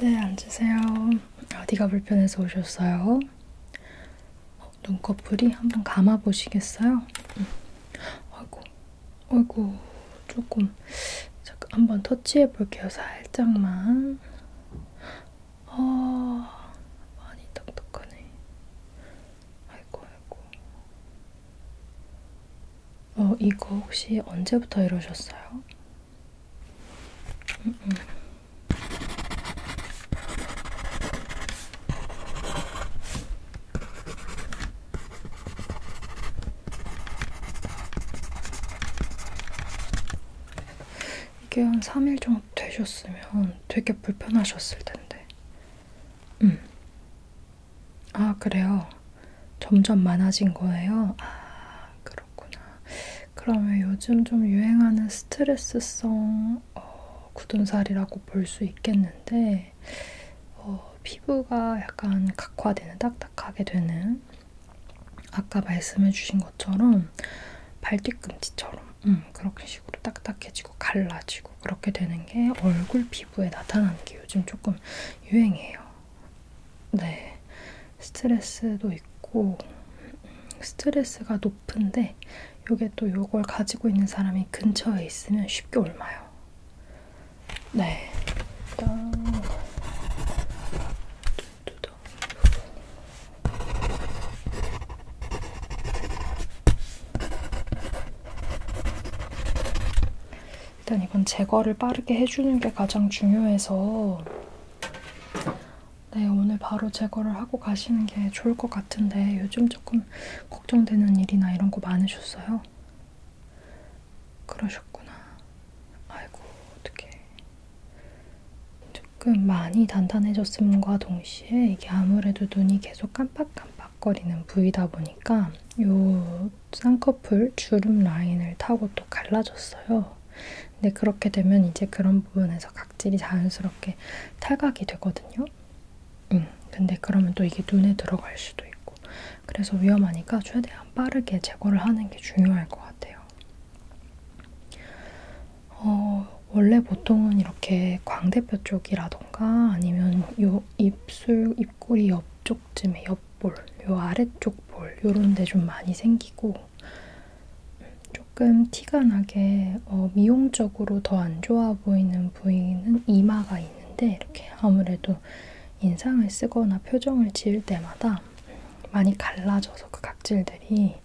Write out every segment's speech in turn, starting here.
네, 앉으세요. 어디가 불편해서 오셨어요? 어, 눈꺼풀이 한번 감아 보시겠어요? 응. 아이고, 아이고, 조금 잠깐 한번 터치해 볼게요. 살짝만. 아, 많이 딱딱하네. 아이고, 아이고. 어, 이거 혹시 언제부터 이러셨어요? 음, 음. 이게 한 3일 정도 되셨으면 되게 불편하셨을 텐데 음. 아, 그래요. 점점 많아진 거예요? 아, 그렇구나. 그러면 요즘 좀 유행하는 스트레스성 어, 굳은살이라고 볼 수 있겠는데, 어, 피부가 약간 각화되는, 딱딱하게 되는, 아까 말씀해주신 것처럼 발뒤꿈치처럼 음, 그렇게 식으로 딱딱해지고 갈라지고 그렇게 되는 게 얼굴 피부에 나타나는 게 요즘 조금 유행이에요. 네. 스트레스도 있고 스트레스가 높은데 요게 또 요걸 가지고 있는 사람이 근처에 있으면 쉽게 옮아요. 네. 일단 두두두. 일단 이건 제거를 빠르게 해주는 게 가장 중요해서 네, 오늘 바로 제거를 하고 가시는 게 좋을 것 같은데 요즘 조금 걱정되는 일이나 이런 거 많으셨어요? 그러셨구나. 아이고, 어떡해. 조금 많이 단단해졌음과 동시에 동시에 이게 아무래도 눈이 계속 깜빡깜빡거리는 부위다 보니까 요 쌍꺼풀 주름 라인을 타고 또 갈라졌어요. 근데 그렇게 되면 이제 그런 부분에서 각질이 자연스럽게 탈각이 되거든요. 음, 근데 그러면 또 이게 눈에 들어갈 수도 있고 그래서 위험하니까 최대한 빠르게 제거를 하는 게 중요할 것 같아요. 어, 원래 보통은 이렇게 광대뼈 쪽이라던가 아니면 요 입술, 입꼬리 옆쪽쯤에 옆볼, 요 아래쪽 볼, 요런 데 좀 많이 생기고 조금 티가 나게 어, 미용적으로 더 안 좋아 보이는 부위는 이마가 있는데 이렇게 아무래도 인상을 쓰거나 표정을 지을 때마다 많이 갈라져서 그 각질들이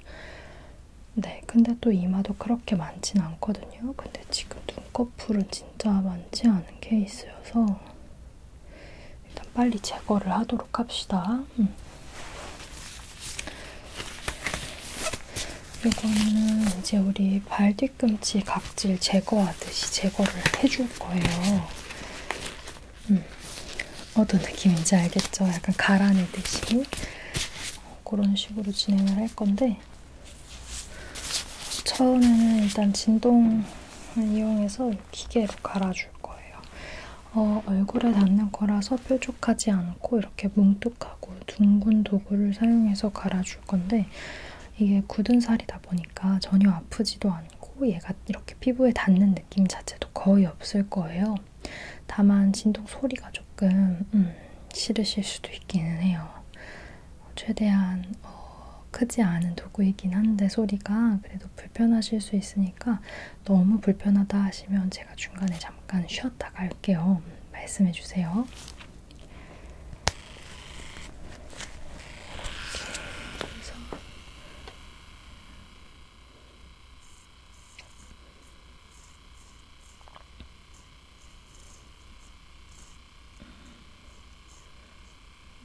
네, 근데 또 이마도 그렇게 많진 않거든요. 근데 지금 눈꺼풀은 진짜 많지 않은 케이스여서 일단 빨리 제거를 하도록 합시다. 음. 이거는 이제 우리 발 뒤꿈치 각질 제거하듯이 제거를 해줄 거예요. 음. 어떤 느낌인지 알겠죠? 약간 가라내듯이. 그런 식으로 진행을 할 건데 처음에는 일단 진동을 이용해서 기계로 갈아줄 거예요. 어, 얼굴에 닿는 거라서 뾰족하지 않고 이렇게 뭉뚝하고 둥근 도구를 사용해서 갈아줄 건데 이게 굳은 살이다 보니까 전혀 아프지도 않고 얘가 이렇게 피부에 닿는 느낌 자체도 거의 없을 거예요. 다만 진동 소리가 조금 음, 싫으실 수도 있기는 해요. 최대한 어, 크지 않은 도구이긴 한데 소리가 그래도 불편하실 수 있으니까 너무 불편하다 하시면 제가 중간에 잠깐 쉬었다 갈게요. 말씀해 주세요.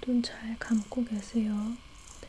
눈잘 감고 계세요. 네.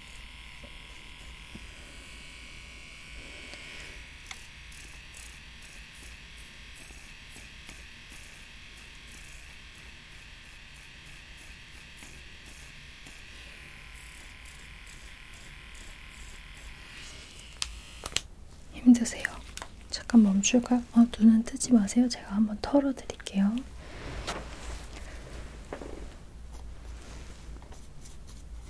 힘드세요. 잠깐 멈출까요? 어, 눈은 뜨지 마세요. 제가 한번 털어드릴게요.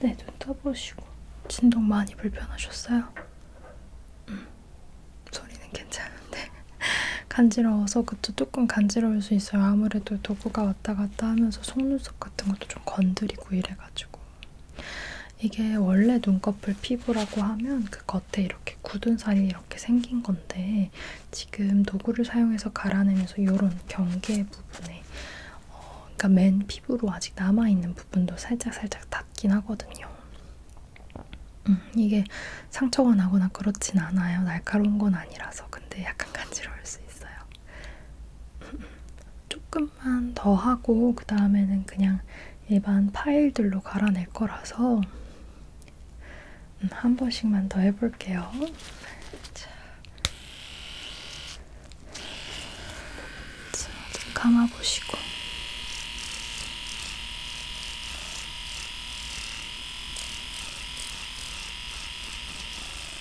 네, 눈 떠보시고 진동 많이 불편하셨어요? 음, 소리는 괜찮은데 간지러워서 그쵸 조금 간지러울 수 있어요. 아무래도 도구가 왔다 갔다 하면서 속눈썹 같은 것도 좀 건드리고 이래가지고 이게 원래 눈꺼풀 피부라고 하면 그 겉에 이렇게 굳은 살이 이렇게 생긴 건데 지금 도구를 사용해서 갈아내면서 이런 경계 부분에 어, 그러니까 맨 피부로 아직 남아있는 부분도 살짝살짝 닿긴 하거든요. 음, 이게 상처가 나거나 그렇진 않아요. 날카로운 건 아니라서. 근데 약간 간지러울 수 있어요. 조금만 더 하고 그 다음에는 그냥 일반 파일들로 갈아낼 거라서 음, 한 번씩만 더 해볼게요. 자, 좀 감아보시고. 자,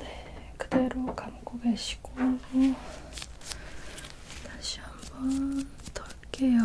네, 그대로 감고 계시고 다시 한번 털게요. 네,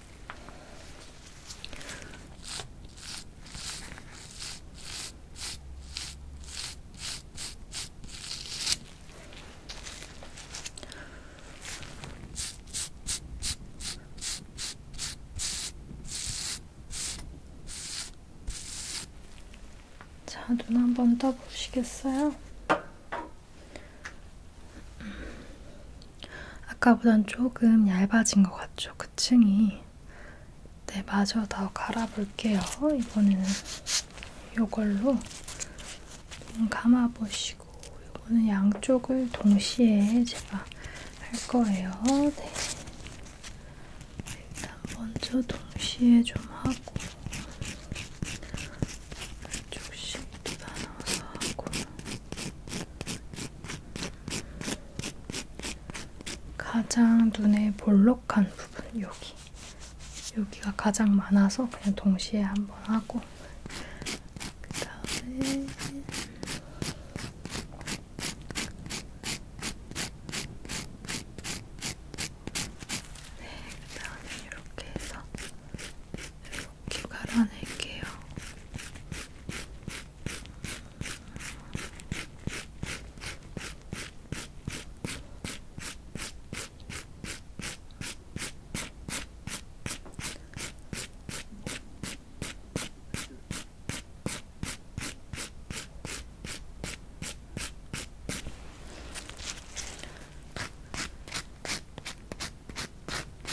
자, 눈 한번 떠보시겠어요? 아까보단 조금 얇아진 것 같죠? 그 층이. 네, 마저 더 갈아볼게요. 이번에는 이걸로 감아보시고, 이거는 양쪽을 동시에 제가 할 거예요. 네. 일단 먼저 동시에 좀 하고, 조금씩 나눠서 하고, 가장 눈에 볼록한 부분 여기 여기가 가장 많아서 그냥 동시에 한번 하고 그 다음에 네, 그 다음에 이렇게 해서 갈아낼게요.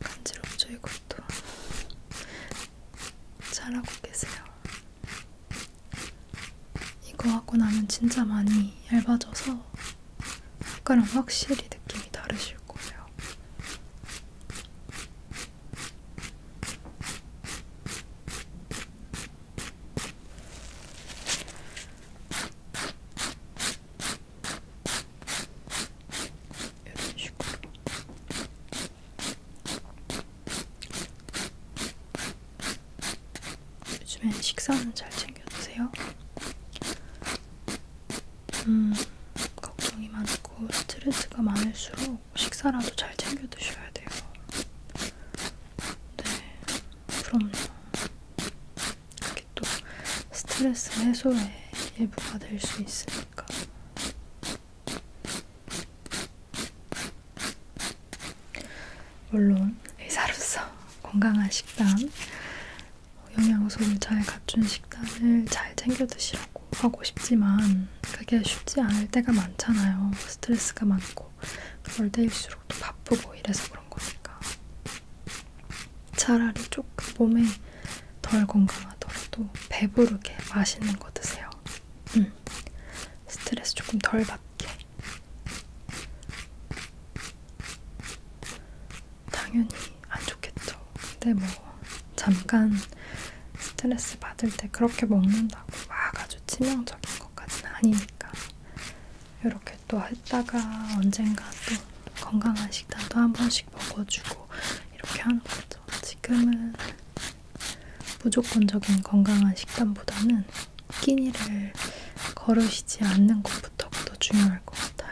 간지럽죠 이것도 잘하고 계세요 이거 하고 나면 진짜 많이 얇아져서 아까랑 확실히 느낌이 다르실 거예요 이런 식으로. 요즘에 식사는 잘 챙겨 드세요? 음, 걱정이 많고 스트레스가 많을수록 식사라도 잘 챙겨 드셔야 돼요. 네, 그럼요. 이게 또 스트레스 해소에 일부가 될 수 있으니 않을까. 물론 의사로서 건강한 식단, 영양소를 잘 갖춘 식단을 잘 챙겨 드시라고 하고 싶지만 그게 쉽지 않을 때가 많잖아요. 스트레스가 많고 그럴 때일수록 또 바쁘고 이래서 그런 거니까. 차라리 조금 몸에 덜 건강하더라도 배부르게 맛있는 거 드세요. 음. 스트레스 조금 덜 받게. 당연히 안 좋겠죠. 근데 뭐 잠깐 스트레스 받을 때 그렇게 먹는다고 막 아주 치명적인 것까지는 아니니까 이렇게 또 했다가 언젠가 또 건강한 식단도 한 번씩 먹어주고 이렇게 하는 거죠. 지금은 무조건적인 건강한 식단보다는 끼니를 거르시지 않는 것부터가 더 중요할 것 같아요.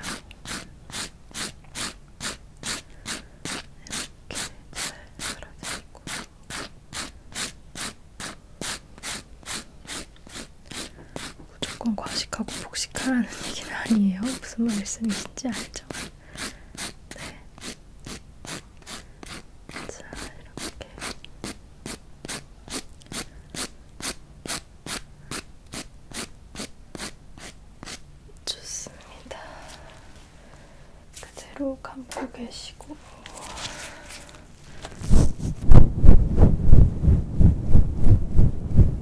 이렇게 잘 갈아내고 무조건 과식하고 복식하라는 얘기는 아니에요. 무슨 말씀이신지 알죠? 네. 자, 이렇게. 좋습니다. 그대로 감고 계시고.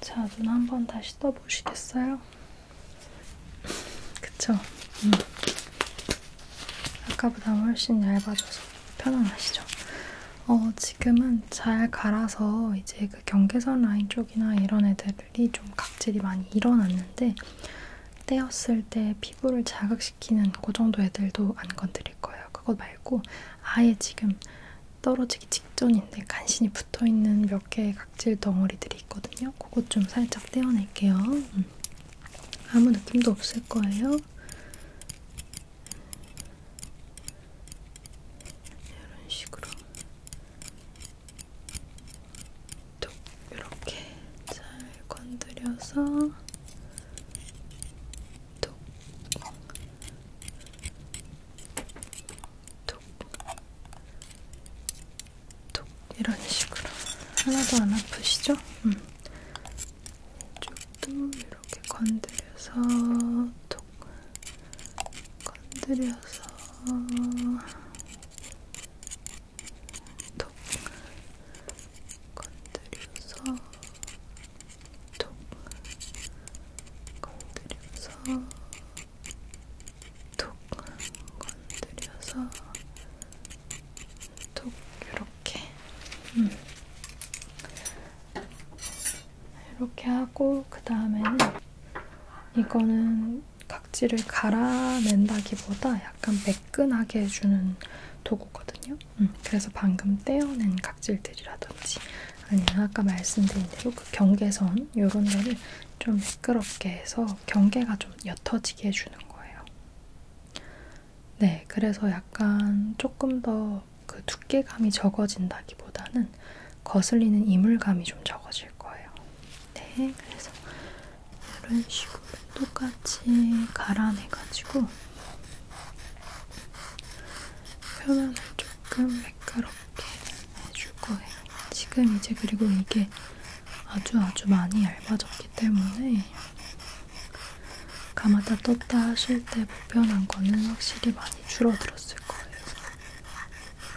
자, 눈 한 번 다시 떠보시겠어요? 그쵸? 음. 아까보다 훨씬 얇아져서 편안하시죠? 어, 지금은 잘 갈아서 이제 그 경계선 라인 쪽이나 이런 애들이 좀 각질이 많이 일어났는데 떼었을 때 피부를 자극시키는 그 정도 애들도 안 건드릴 거예요. 그거 말고 아예 지금 떨어지기 직전인데 간신히 붙어있는 몇 개의 각질 덩어리들이 있거든요. 그것 좀 살짝 떼어낼게요. 음. 아무 느낌도 없을 거예요. 이런 식으로 톡 이렇게 잘 건드려서 톡, 톡, 톡 이런 식으로 하나도 안 아프시죠? 음. 이쪽도 이렇게 건드려서 톡 건드려서 톡 건드려서 톡 건드려서 톡 건드려서 톡 이렇게 음. 이렇게 하고 그 다음에는 이거는 박지를 갈아낸다기보다 약간 매끈하게 해주는 도구거든요. 음, 그래서 방금 떼어낸 각질들이라든지 아니면 아까 말씀드린 대로 그 경계선 요런 데를 좀 매끄럽게 해서 경계가 좀 옅어지게 해주는 거예요. 네, 그래서 약간 조금 더 그 두께감이 적어진다기보다는 거슬리는 이물감이 좀 적어질 거예요. 네, 그래서 이런 식으로 똑같이 갈아내가지고 표면을 조금 매끄럽게 해줄 거예요. 지금 이제 그리고 이게 아주 아주 많이 얇아졌기 때문에 감았다 떴다 하실 때 불편한 거는 확실히 많이 줄어들었을 거예요.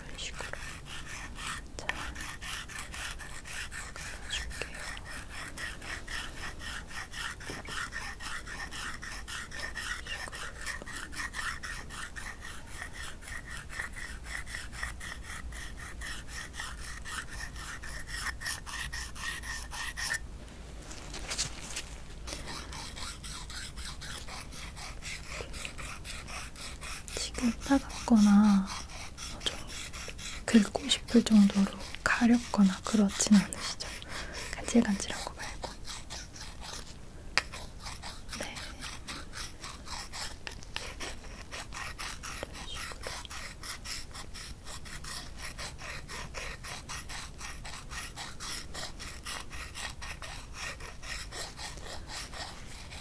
이런 식으로. 살짝 눌러줄게요. 지금 따갑거나 좀 긁고 싶을 정도로 가렵거나 그렇진 않으시죠? 간질간질한 거 말고. 네. 이런 식으로.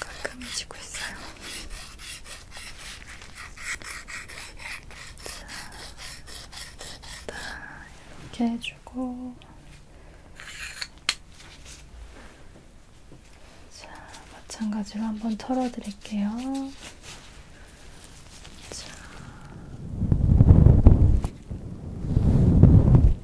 깔끔해지고 있어요. 자, 이렇게 해주고, 자, 마찬가지로 한번 털어드릴게요. 자.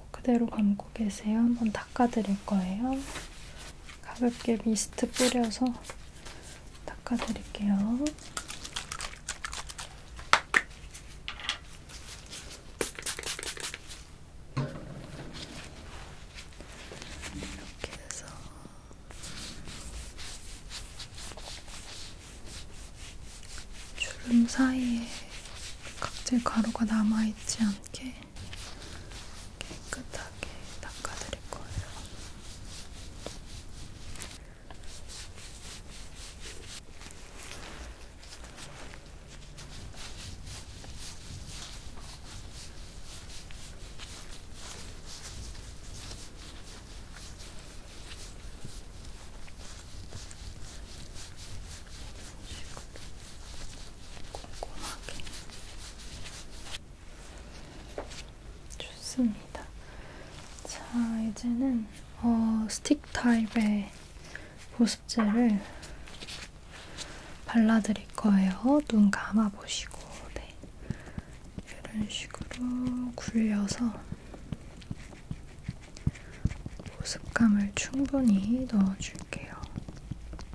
하고 그대로 감고 계세요. 한번 닦아드릴 거예요. 가볍게 미스트 뿌려서 닦아드릴게요. 이렇게 해서 주름 사이에 각질 가루가 남아있지 않게 깨끗하게 닦아드릴 거예요. 이런 식으로 꼼꼼하게 좋습니다. 자, 이제는 어, 스틱 타입의 보습제를 발라드릴 거예요. 눈 감아보시고, 네. 이런 식으로 굴려서 보습감을 충분히 넣어줄게요.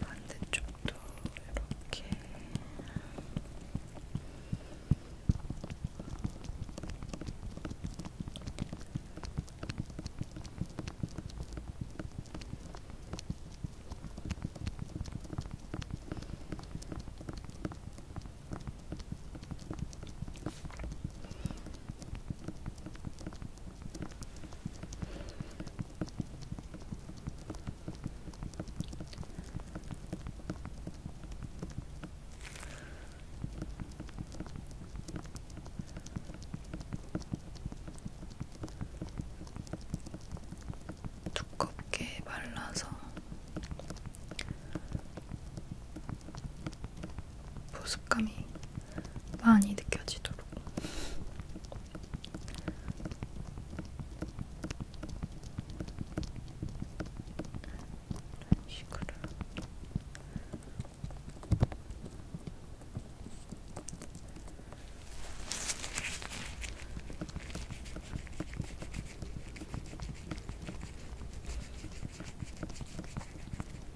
반대쪽도 이렇게 두껍게 말라서 보습감이 많이 느껴지도록. 이런 식으로.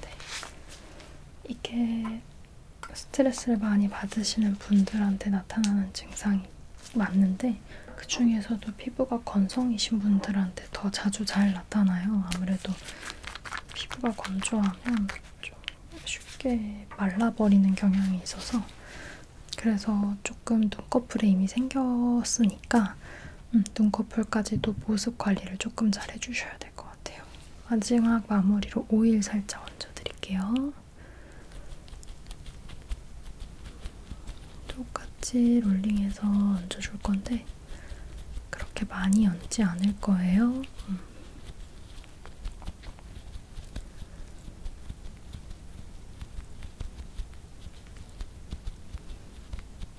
네. 이게 스트레스를 많이 받으시는 분들한테 나타나는 증상이 맞는데 그 중에서도 피부가 건성이신 분들한테 더 자주 잘 나타나요. 아무래도 피부가 건조하면 좀 쉽게 말라버리는 경향이 있어서 그래서 조금 눈꺼풀에 이미 생겼으니까 음, 눈꺼풀까지도 보습 관리를 조금 잘 해주셔야 될것 같아요. 마지막 마무리로 오일 살짝 얹어드릴게요. 똑같이 롤링해서 얹어줄 건데 그렇게 많이 얹지 않을 거예요. 음.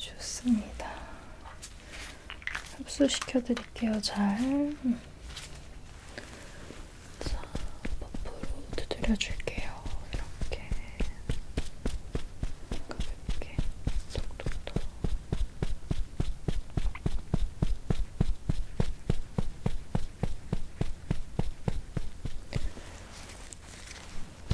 좋습니다. 흡수시켜 드릴게요. 잘. 음. 자, 버프로 두드려 줄게요. 이렇게. 가볍게. 톡톡톡.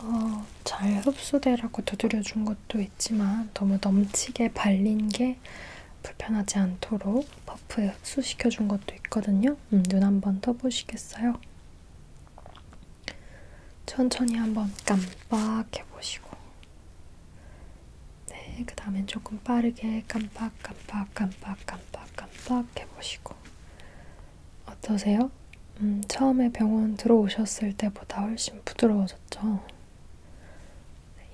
어, 잘 흡수되라고 두드려준 것도 있지만 너무 넘치게 발린 게 불편하지 않도록 퍼프에 흡수시켜준 것도 있거든요. 음, 눈 한번 떠보시겠어요? 천천히 한번 깜빡해보시고 네, 그 다음엔 조금 빠르게 깜빡 깜빡 깜빡 깜빡 깜빡 해보시고 어떠세요? 음, 처음에 병원 들어오셨을 때보다 훨씬 부드러워졌죠?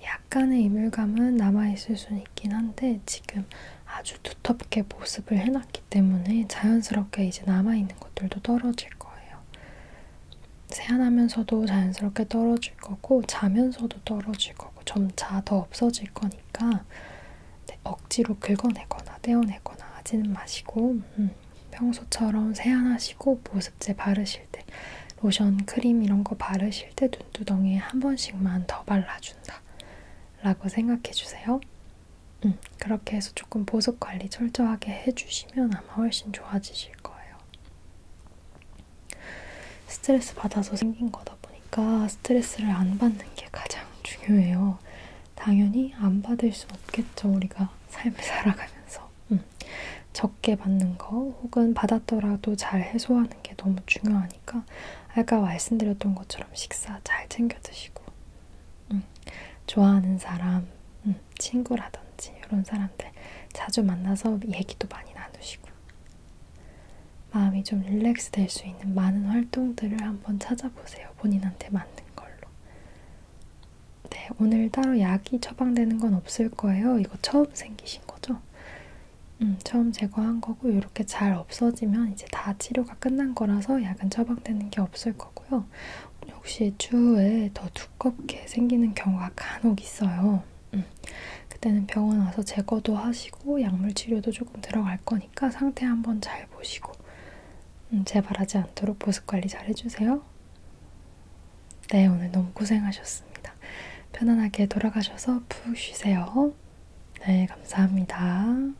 약간의 이물감은 남아있을 수는 있긴 한데 지금 아주 두텁게 보습을 해놨기 때문에 자연스럽게 이제 남아있는 것들도 떨어질 거예요. 세안하면서도 자연스럽게 떨어질 거고 자면서도 떨어질 거고 점차 더 없어질 거니까 네, 억지로 긁어내거나 떼어내거나 하지는 마시고 음, 평소처럼 세안하시고 보습제 바르실 때 로션, 크림 이런 거 바르실 때 눈두덩이에 한 번씩만 더 발라준다 라고 생각해주세요. 음, 그렇게 해서 조금 보습관리 철저하게 해주시면 아마 훨씬 좋아지실 거예요. 스트레스 받아서 생긴 거다. 그러다 보니까 스트레스를 안 받는 게 가장 중요해요. 당연히 안 받을 수 없겠죠. 우리가 삶을 살아가면서 음. 적게 받는 거 혹은 받았더라도 잘 해소하는 게 너무 중요하니까 아까 말씀드렸던 것처럼 식사 잘 챙겨 드시고 음. 좋아하는 사람, 음. 친구라든지 이런 사람들 자주 만나서 얘기도 많이 나누시고 마음이 좀 릴렉스 될 수 있는 많은 활동들을 한번 찾아보세요. 본인한테 맞는 걸로. 네, 오늘 따로 약이 처방되는 건 없을 거예요. 이거 처음 생기신 거죠? 음, 처음 제거한 거고 이렇게 잘 없어지면 이제 다 치료가 끝난 거라서 약은 처방되는 게 없을 거고요. 역시 추후에 더 두껍게 생기는 경우가 간혹 있어요. 음, 그때는 병원 와서 제거도 하시고 약물 치료도 조금 들어갈 거니까 거니까 상태 한번 잘 보시고 음, 재발하지 않도록 보습 관리 잘 해주세요. 네, 오늘 너무 고생하셨습니다. 편안하게 돌아가셔서 푹 쉬세요. 네, 감사합니다.